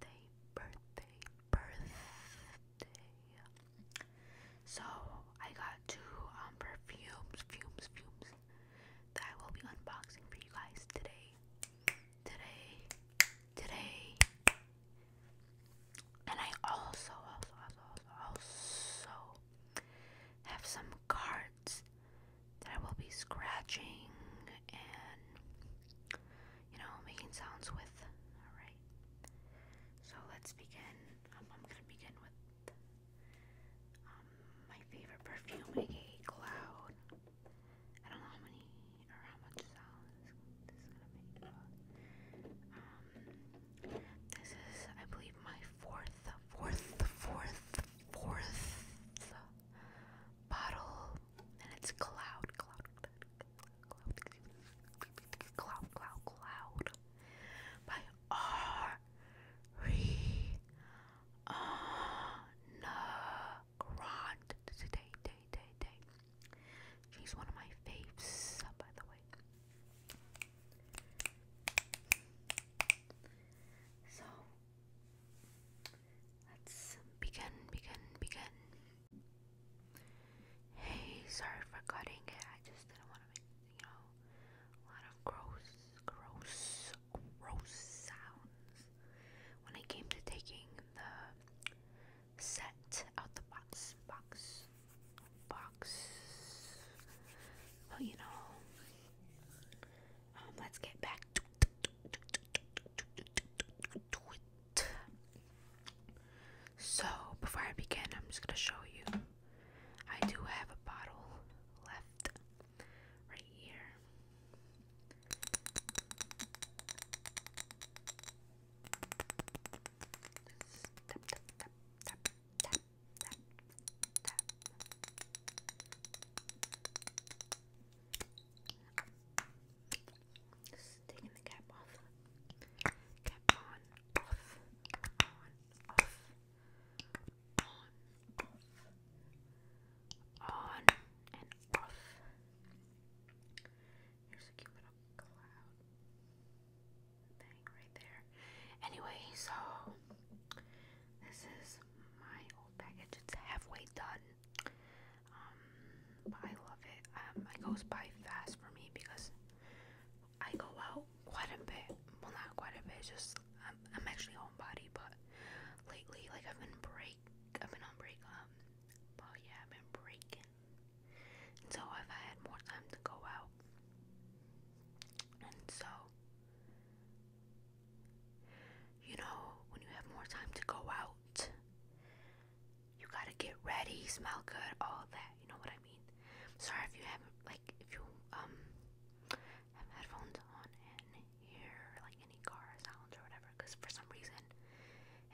birthday, birthday, birthday. So I got two um perfumes, fumes, fumes that I will be unboxing for you guys today. Today, today. And I also, also, also, also, also have some cards that I will be scratching and you know, making sounds with. Alright. So let's begin. Um, I'm gonna begin with um, my favorite perfume, aka Cloud. I don't know how many or how much sound this is gonna make. Um, this is, I believe, my fourth, fourth, fourth, fourth bottle and it's cloud, cloud, cloud, cloud, cloud, cloud, cloud by R. Re. Anna Grant. Today, day, day, day. She's one of my faves, by the way. So let's begin, begin, begin. Hey, sorry for cutting it. I just didn't want to make, you know, a lot of gross, gross, gross sounds. When it came to taking the set out the box, box, box. But you know, let's get back. So, before I begin, I'm just gonna show you. I do have a bottle left right here. Taking the cap off. Cap on, off, on, off, on, off, on, and off. Here's a cute little cloud thing right there. Anyway, so this is my old package. It's halfway done. Um, I love it. Um, it goes by fast for me because I go out quite a bit. Well, not quite a bit. just I'm, um, I'm actually homebody, but lately, like I've been break, I've been on break. Um, but yeah, I've been breaking, and so i had more time to go out, and so you know, when you have more time to go out, you gotta get ready, smell good, all that. You know what I mean? sorry if you have like, if you um have headphones on and hear like any car sounds or whatever, because for some reason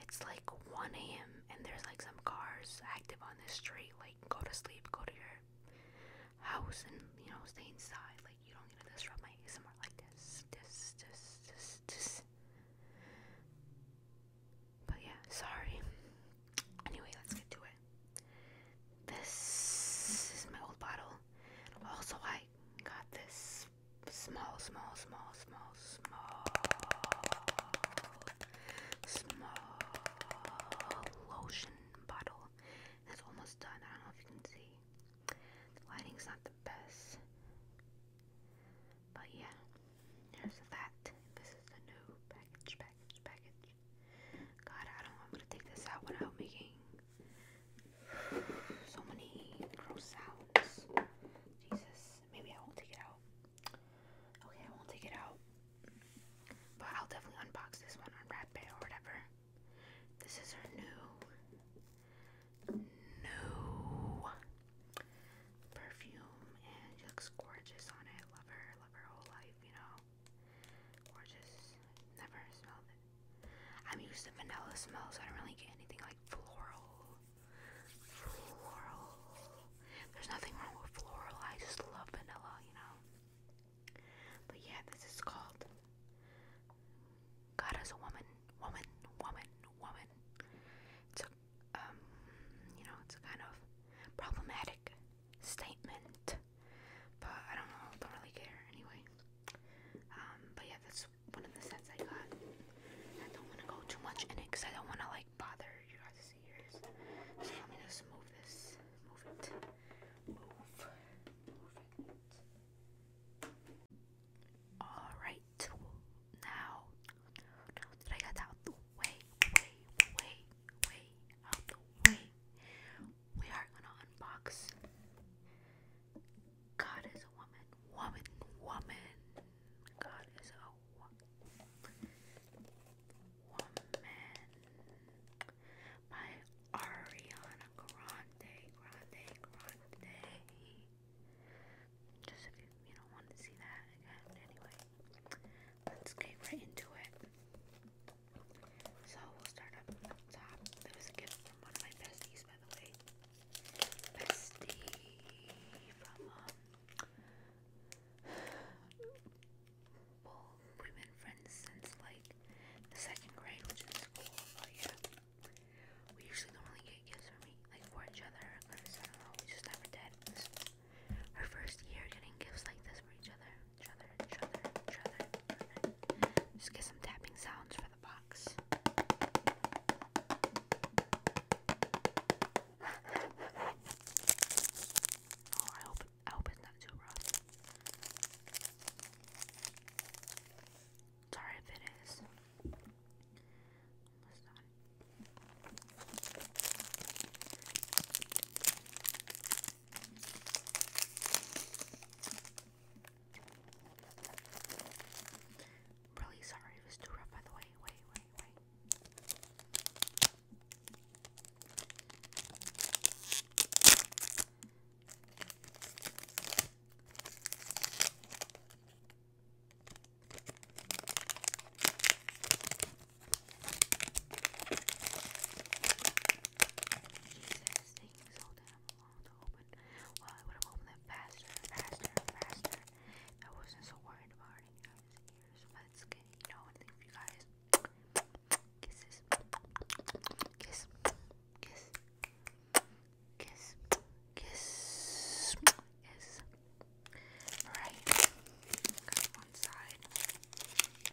it's like 1 a.m. and there's like some cars active on this street. Like, go to sleep, go to your house, and you know, stay inside. Like, you don't need to disrupt my ASMR like this, this, this, this, this. But yeah, sorry. Anyway, let's get to it. This is my old bottle. Also, I got this small, small, small, small, small, small lotion bottle. It's almost done. I don't know if you can see. The lighting's not the best. But yeah, there's that. This is the new package, package, package. God, I don't. I'm gonna take this out without making so many gross sounds. Jesus, maybe I won't take it out. Okay, I won't take it out. But I'll definitely unbox this one, unwrap it, or whatever. This is her new new perfume and she looks gorgeous on it. Love her, love her whole life, you know. Gorgeous. Never smelled it. I'm used to vanilla smells, so I don't really get anything like floral. Floral. There's nothing wrong with floral. I just love vanilla, you know. But yeah, this is called God is a woman, woman, woman, woman. It's a, um, you know, it's a kind of problematic statement, but I don't know, don't really care anyway. Um, but yeah, that's one of the sets I got. I don't want to go too much in it because I don't want to like bother you ears. So let me just move this, move it, move, move it. Alright, right now. Did I get out the way, way, way, way, out the way? We are gonna unbox God is a woman, woman, woman. God is a woman. Woman by Ariana Grande, Grande, Grande. Just if you, you don't want to see that again. Anyway, let's get right into it. So we'll start up from the top. There was a gift from one of my besties, by the way. Bestie from um, well, we've been friends since like the second grade, which is cool. But yeah, we usually don't really get gifts for me, like for each other, I don't know, we just never did. This first year getting gifts like this for each other, each other, each other. Each other. Just get some tapping sounds for the box. Oh, I hope I hope it's not too rough. Sorry if it is. really sorry it was too rough, by the way. Wait, wait, wait. Jesus, taking so damn long to open. Well, I would have opened faster, faster, faster. I wasn't so worried about it in you thank you Kisses. Kiss. Kiss kiss, kiss, kiss. Right. one side.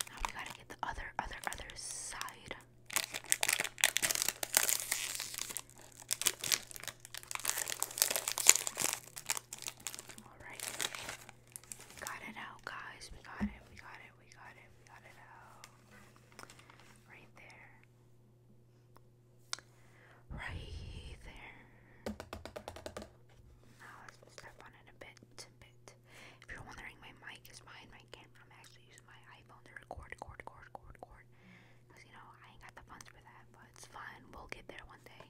Now we gotta get the other, other, other side. Alright. Got it out, guys. We got it, we got it, we got it, we got it out. Right there. Right there. Now let's step on it a bit, a bit. If you're wondering, my mic is behind my camera. I'm actually using my iPhone to record, record, record, record, record. Because, you know, I ain't got the funds for that, but it's fun. We'll get there one day.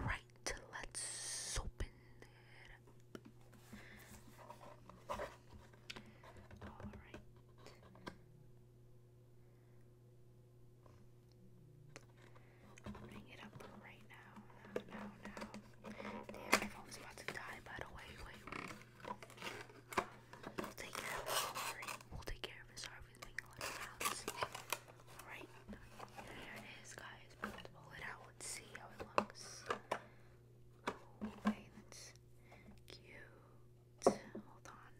Alright, let's open it Alright. Opening it up right now. Now, now, about to die, by the Wait, wait. We'll take care of it. We'll take care of it. Sorry Alright, here it is, guys. We'll pull it out. let see how it looks. Oh, that's cute. Hold on.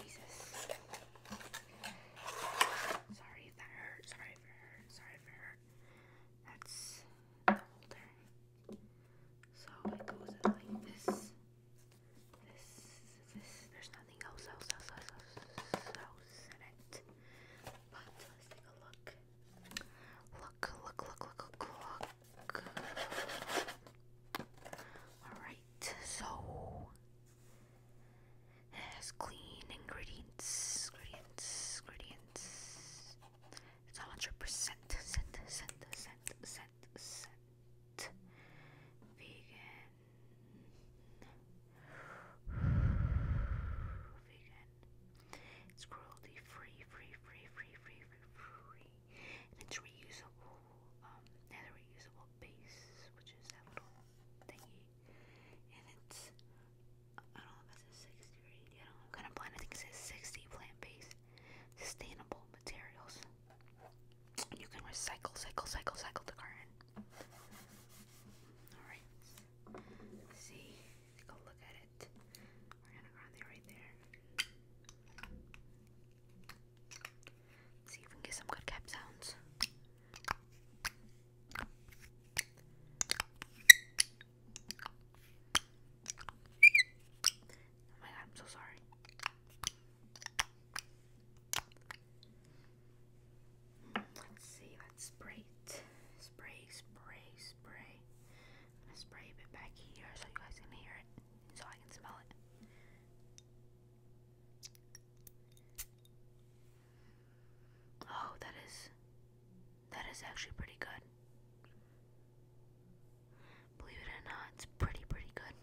Jesus. Sorry if that hurt. Sorry if it Sorry if it That's the holder. So it goes out like this there's nothing else, in it. let's take a look. Look, look, look, look, look, Alright, so it has clean ingredients, ingredients, ingredients. It's 100% vegan vegan it's cruelty free free free free free free free it's reusable um and a reusable base which is that little thingy and it's I don't know if it says 60 I do kind of plant I think it says 60 plant based sustainable materials. You can recycle, cycle, cycle, cycle the garden. Alright. see. Take look at it. Ariana Grande right there. Let's see if we can get some good cap sounds. Oh my god, I'm so sorry. Let's see, let's spray it. Spray, spray, spray. i spray a bit back here so you guys can hear it, so I can smell it. Oh, that is that is actually pretty good. Believe it or not, it's pretty, pretty good.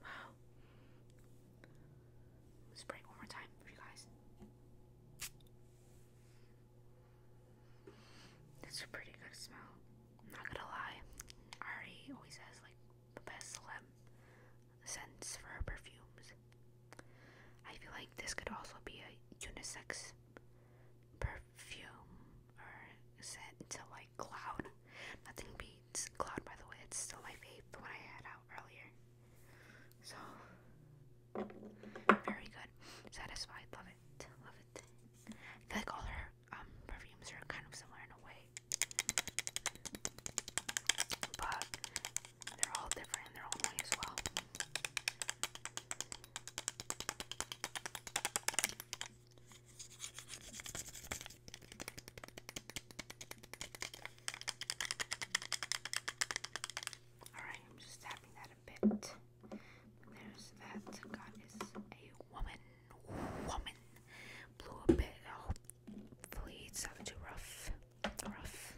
Wow. Spray one more time for you guys. It's a pretty good smell. I'm not gonna lie. Ari always has like the best sense for perfumes. I feel like this could also be a unisex perf fume or scent to like cloud. Nothing beats cloud, by the way. It's still my fave, the I had out earlier. So very good. Satisfied. Love it. Love it. I feel like all her um, perfumes are kind of similar in a way. But they're all different in their own way as well. Alright, I'm just tapping that a bit. There's that. God is a woman. Woman. Blew a bit. Hopefully, it's not too rough. Rough.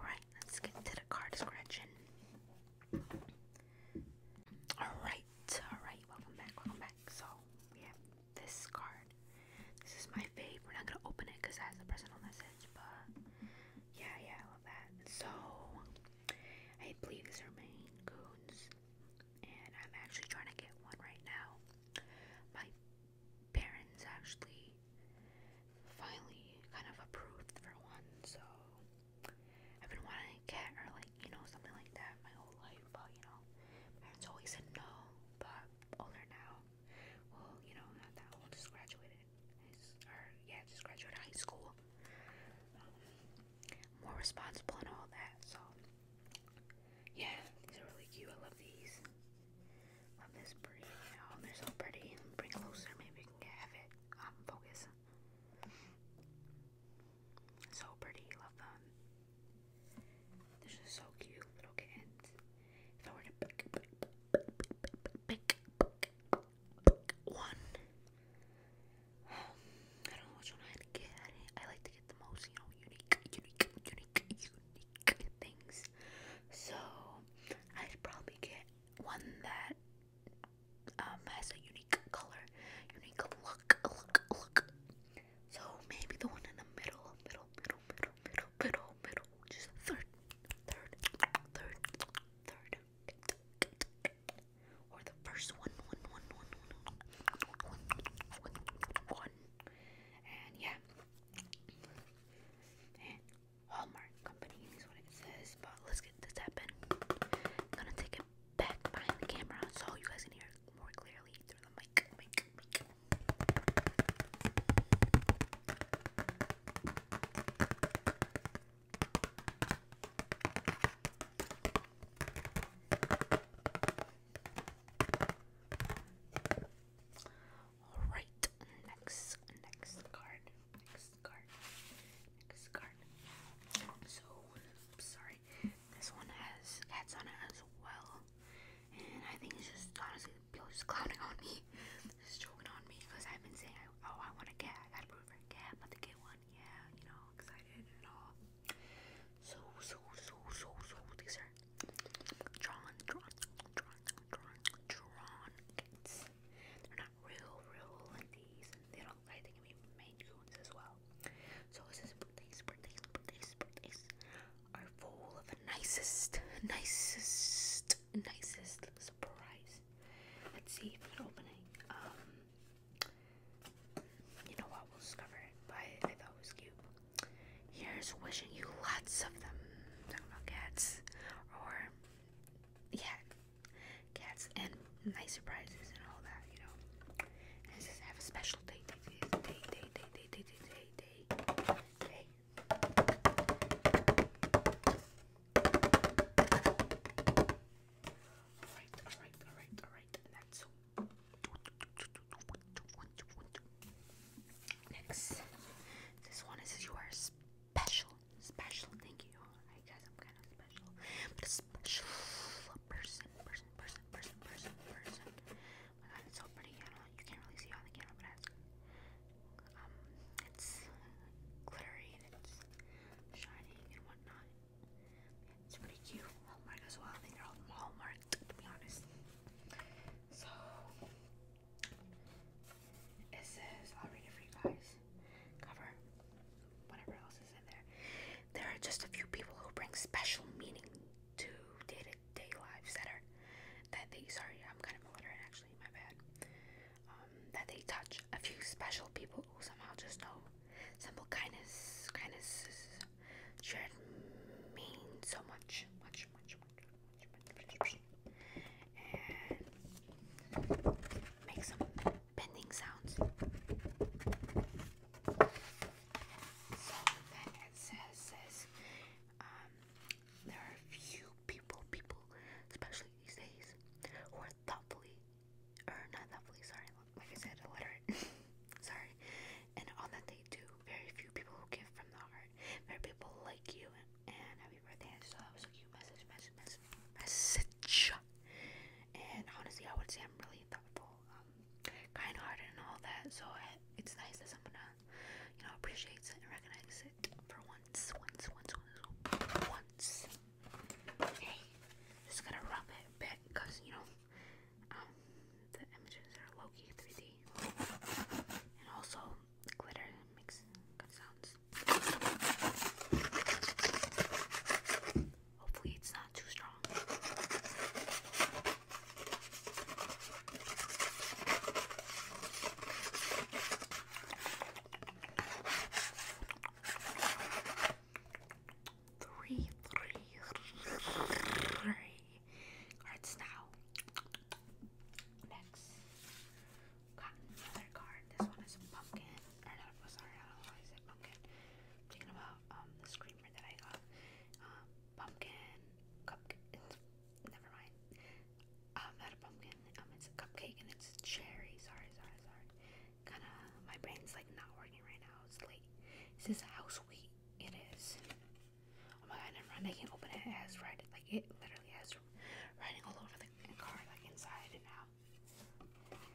Alright, let's get to the card scratching. Alright, alright, welcome back, welcome back. So, we this card. This is my fave. We're not gonna open it it has a personal message, but yeah, yeah, I love that. So, I believe these are Maine Coons, and I'm actually trying to get one right now. My parents actually finally kind of approved for one, so I've been wanting a cat or like, you know, something like that my whole life, but you know, parents always said no, but older now. Well, you know, not that old, just graduated. Or yeah, just graduated high school. Um, more responsible and all that, so yeah, these are really cute. I love these. Love this breed, you oh, they're so pretty. Bring closer, maybe we can have it. Um, focus. So pretty, love them. They're so cute, little kittens. If I were to pick, pick, pick, pick, pick, pick one, um, I don't know which one i I like to get the most, you know, unique, unique, unique, unique things. So I'd probably get one that um has a unique color, unique look, look, look. So maybe the one in the middle, middle, middle, middle, middle, middle, middle, just third, third, third, third, or the first one, one, one, one, one, one, one, one, and yeah. And Hallmark Company is what it says, but let's get this happen. I'm gonna take a back behind the camera so you guys can hear more clearly through the mic. All right, next, next card, so, sorry. This one has cats on it as well. And I think it's just honestly people just clowning on me. Just on me because I've been saying, oh, I want a cat. I gotta prove for a cat, to get one, yeah, you know, excited and all. So, so, so, so, so, these are drawn, drawn, drawn, drawn, drawn They're not real, real ladies, and they don't, I think, I mean, Coons as well. So his birthdays, birthdays, birthdays, birthdays are full of nicest, nicest, nicest surprise. Let's see if it's opening. Um, you know what? We'll discover it. But I thought it was cute. Here's wishing you lots of them nuggets, or yeah, cats and nice surprises and all that, you know. And it have a special day, Alright, alright, alright, alright. Next, this one is you special special. Thank you. I I'm kind of special. But a special person, person, person, person, person, oh my god, it's so pretty. I don't, you can't really see on the camera, but it's, um, it's glittery and it's shining and whatnot. It's pretty cute. Hallmark as well. they're all Hallmark, to be honest. So, it says, I'll read it for you guys cover, whatever else is in there. There are just a few people who bring special meaning to day-to-day lives that are that they sorry, I'm kind of illiterate actually, my bad. that they touch a few special people who somehow just know simple kindness kindness mean so much much much much much much much and make some bending sounds. So then it says, um, there are few people, people, especially these days, who are thoughtfully, or not thoughtfully, sorry, like I said, illiterate, sorry, and all that they do, very few people who give from the heart, very people like you, and, happy birthday, so that was a cute message, message, message, and honestly, I would say I'm really thoughtful, um, kind-hearted, and all that. So it's nice that someone, uh, you know, appreciates it and recognizes it for once, once, once, once, once. Hey, just gonna rub it a bit because you know, um, the images are low-key 3D, and also glitter makes good sounds. Hopefully, it's not too strong. Three, three, three cards now. Next, gotten another card. This one is pumpkin. Or not, sorry, I don't know why pumpkin. thinking about um, the screamer that I got. Um, pumpkin, cupcake. Never mind. Um, not a pumpkin. Um, it's a cupcake and it's cherry. Sorry, sorry, sorry. Kinda, my brain's like not working right now. It's late. Is this house It is. Oh my god, never mind. I can't open it. It has red. Like, it literally has writing all over the card, like inside and out. Like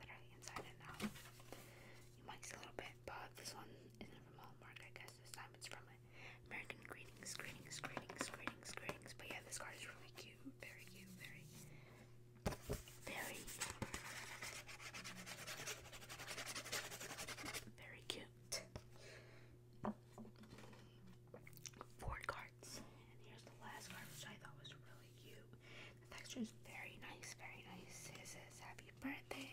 literally inside and out. You might see a little bit, but this one isn't from Hallmark, I guess. This time it's from it. American Greetings, Greetings, Greetings, Greetings, Greetings. But yeah, this card is really cute. Very cute, very, very, very cute. Four card and here's the last card, which I thought was really cute. The texture is very nice, very nice. It says happy birthday.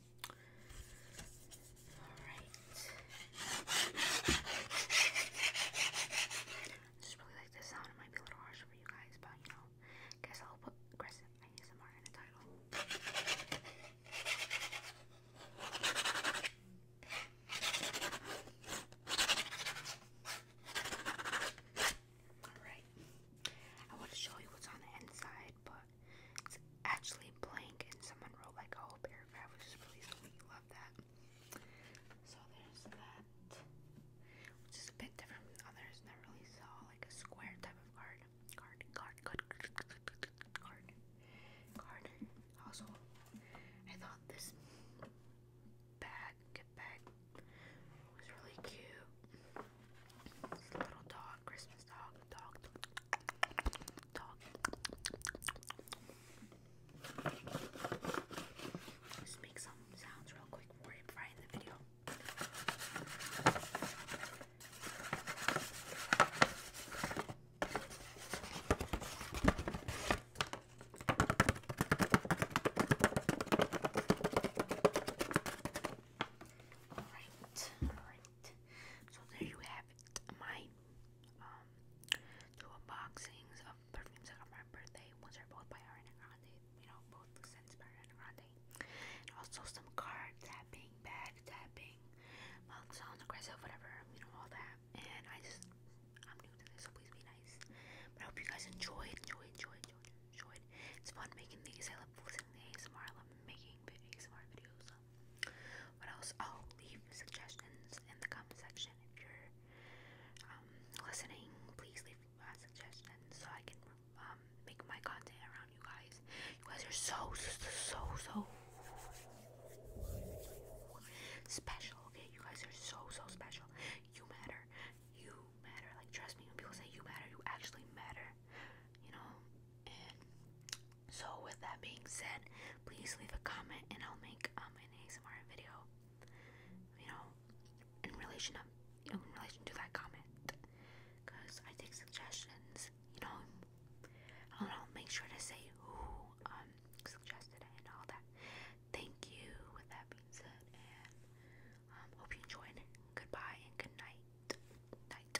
Alright. I just really like this sound. It might be a little harsh for you guys, but you know, guess I'll put aggressive ASMR in the title. Alright. I want to show you what's on the inside, but it's actually blank, and someone wrote like a whole paragraph, which is really sweet. Love that. So there's that, which is a bit different from others. Never really saw like a square type of card. Card, card, card, card, card. Also, I thought this bag, get bag, was really cute. little dog dog, Christmas dog, dog, dog. Just make some sounds real quick before I fry in the video. alright, it. So there you have it, my um two unboxings of perfumes I got for my birthday. Ones are both by Ariana Grande, you know, both scents by Ariana Grande. And also some card tapping, bag tapping, mug sounds, aggressive, whatever, you know, all that. And I just I'm new to this, so please be nice. I hope you guys enjoyed, enjoyed, enjoyed, enjoyed, enjoyed. It's fun making these. I love listening to I love making ASMR videos. What else? Oh, leave suggestions in the comment section if you're um, listening. Please leave uh, suggestions so I can um, make my content around you guys. You guys are so, so, so special. Okay, you guys are so, so special. You matter. You matter. Like trust me, when people say you matter, you actually matter. You know, so with that being said, please leave a comment and I'll make um an ASMR video. You know, in relation to in relation to that comment, because I take suggestions. You know, I will Make sure to say who um suggested it and all that. Thank you. With that being said, and um, hope you enjoyed. Goodbye and good night. Night.